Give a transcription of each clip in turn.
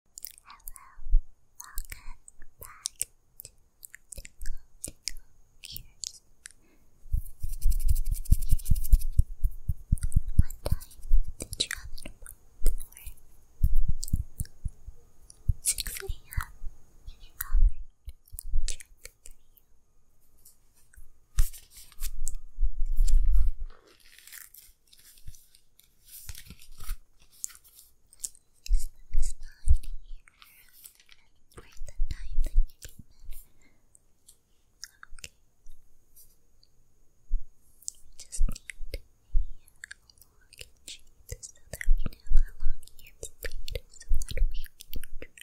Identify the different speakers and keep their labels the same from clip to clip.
Speaker 1: Hello, welcome back to Tingle Tingle Cures. What time did you have an 6 a.m. Alright, check for you. Write the time that you came Okay. just need a log sheet so that we know how long you've so that we can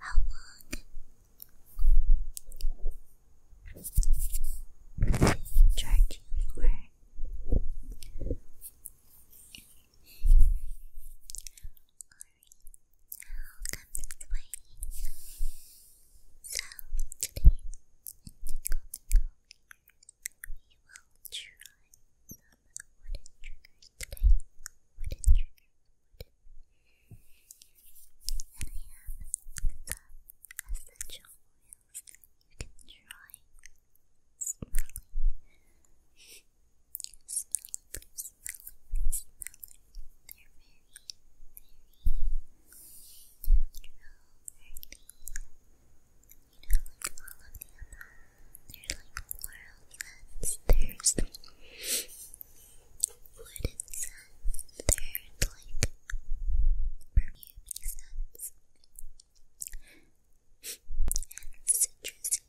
Speaker 1: how long charging for Alright. I'll come this So today in Tinkle Tinkle we will try today. Wooden triggers, wooden. And I essential oils you can try smelling, smelling, smelling, smelling. They're very, very natural, earthy. You know, like all of the other, they're like floral scents. There's wooden scents their like perfumey scents and citrusy scents.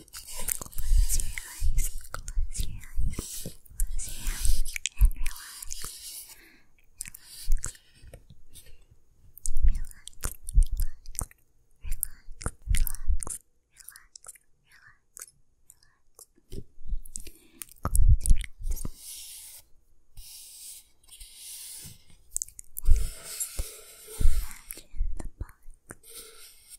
Speaker 1: Close your eyes, close your eyes, close your eyes, and relax. Relax. Relax, relax, relax, relax. Relax, relax, relax. Close your eyes,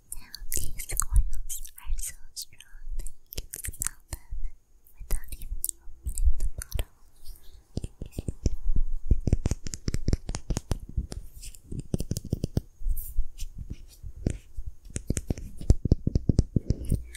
Speaker 1: Now these oils are so strong that you can smell them without even opening the bottle. Lemongrass helps to activate the mind, refresh and nervous exhaustion.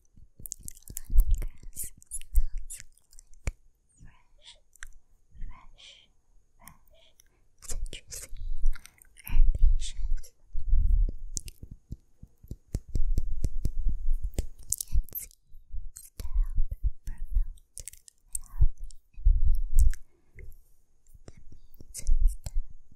Speaker 1: Lemongrass smells like fresh, fresh, fresh, citrusy, herbaceous. It seems to help promote a healthy immune, immune system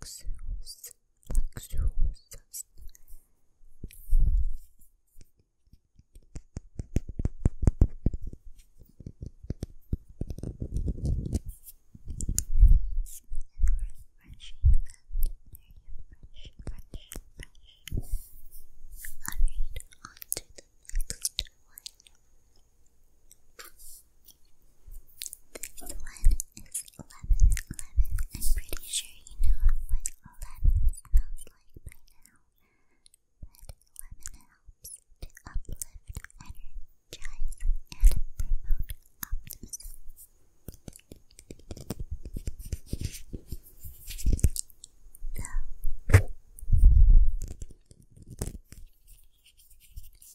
Speaker 1: luxurious, luxurious Nice and refreshing, very refreshing, fresh, fresh. Alright, on to the next one. This one is is I'm pretty sure you know what lemon smells like by now, but lemon helps to uplift, energize, and promote optimism.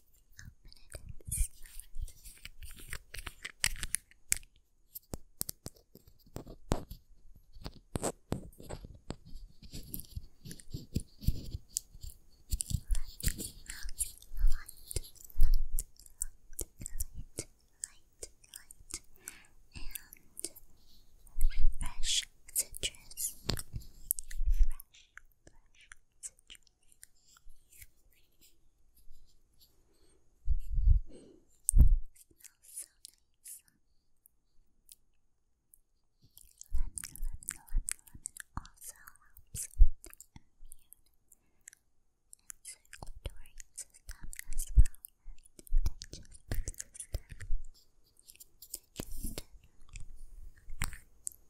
Speaker 1: Open it smell Light, light, light, light, light, light, and fresh citrus. Fresh, fresh citrus smells so also helps the circulatory system as well as the digestive system.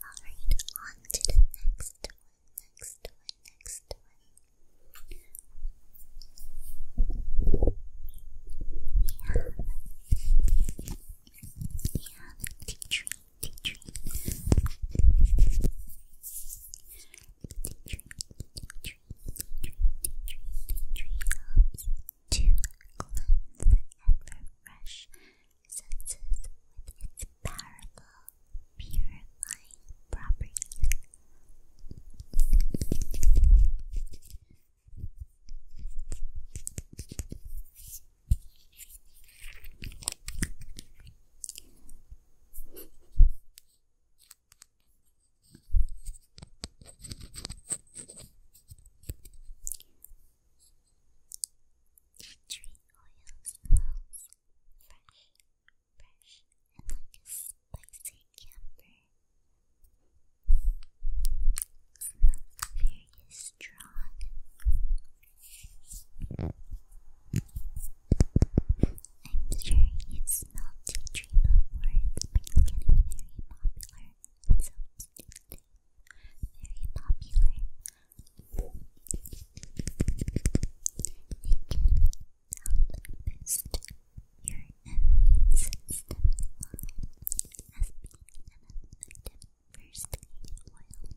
Speaker 1: Alright, on to the next one, next one, next one. We have, tea tree, tea tree helps to cleanse and refresh senses its powerful purifying properties. Tea tree oil smells fresh, fresh, and like a spicy camphor. Smells very strong. I'm sure you've smelled tea tree before. It's been getting very popular. very popular. It can help boost your immune system as being first aid they work very well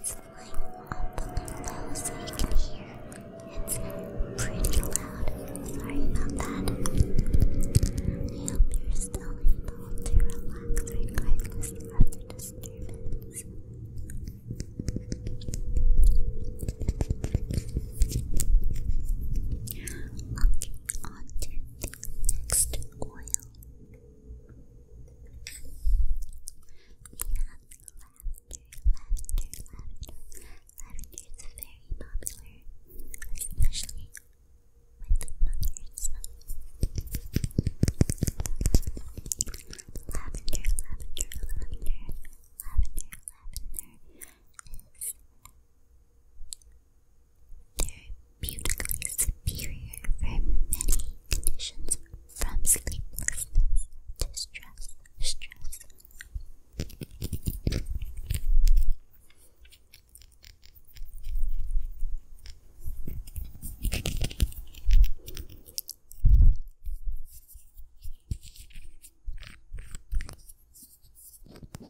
Speaker 1: It's like opening low so you can hear. It's pretty loud. Sorry about that. I hope you're still able to relax regardless of the disturbance. Okay, on to the next oil lavender, lavender. Lavender is very popular, especially with mothers. Lavender, lavender, lavender. Lavender, lavender they're beautifully superior for many conditions from sleeplessness to stress.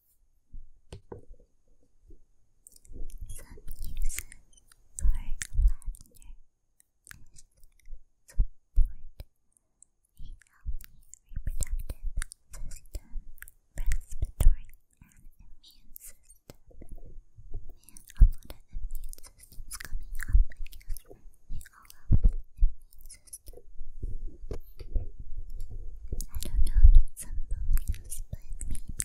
Speaker 1: Some uses for lavender support a reproductive system, respiratory, and immune system. Man, a lot of immune systems up, I don't know some beliefs, but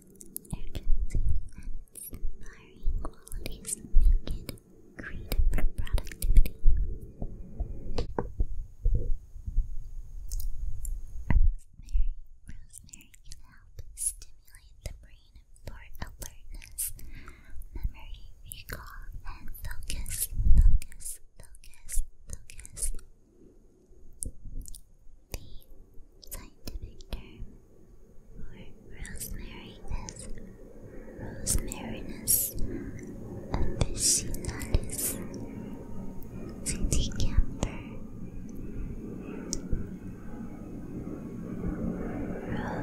Speaker 1: urgency, and inspiring qualities make it great for productivity. Rosemary, rosemary can help stimulate the brain for alertness, memory, recall, and focus, focus, focus, focus. The scientific term for rosemary is Rosemarinus officinalis Citicanfer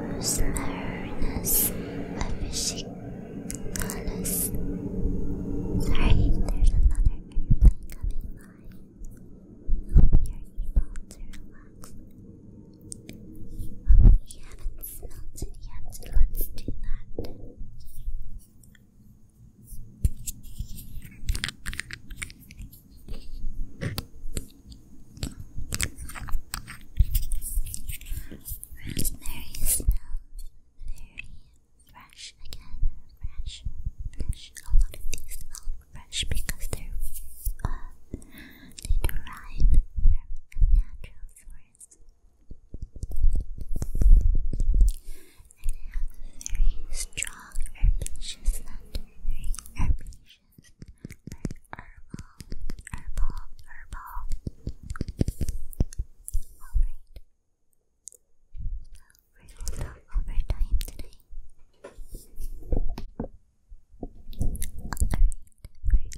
Speaker 1: Rosemarinus officinalis Sorry, there's another airplane coming by hope you're able relax. we haven't smelt it yet. Let's do that. Rosemary smells fresh again, fresh, fresh. A lot of these smell fresh because they're uh, they derive from a natural source. And it has a very strong herbaceous very herbaceous, like herbal, herbal, herbal. Alright. We will talk over today. we're gonna overtime today, so we will schedule another time for us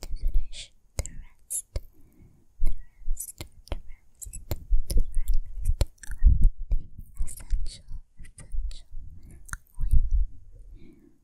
Speaker 1: to finish the rest, the rest, the rest, the rest of the essential, essential oil.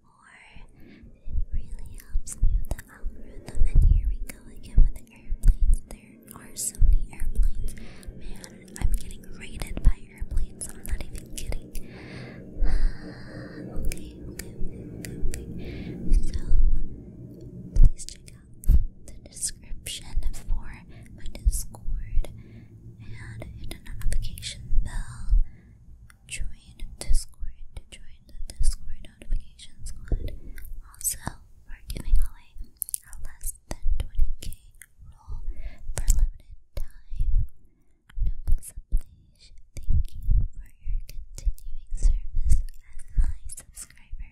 Speaker 1: more. It really helps me the algorithm. And here we go again with airplanes. There are so many airplanes. Man, I'm getting raided by airplanes. I'm not even kidding. okay, okay, okay, So, please check out the description for my Discord and hit the notification bell join Discord to join the Discord notification squad. Also, we're giving away a less than 20k roll for limited time. Noblesse oblige, thank you for your continuing service as my subscriber.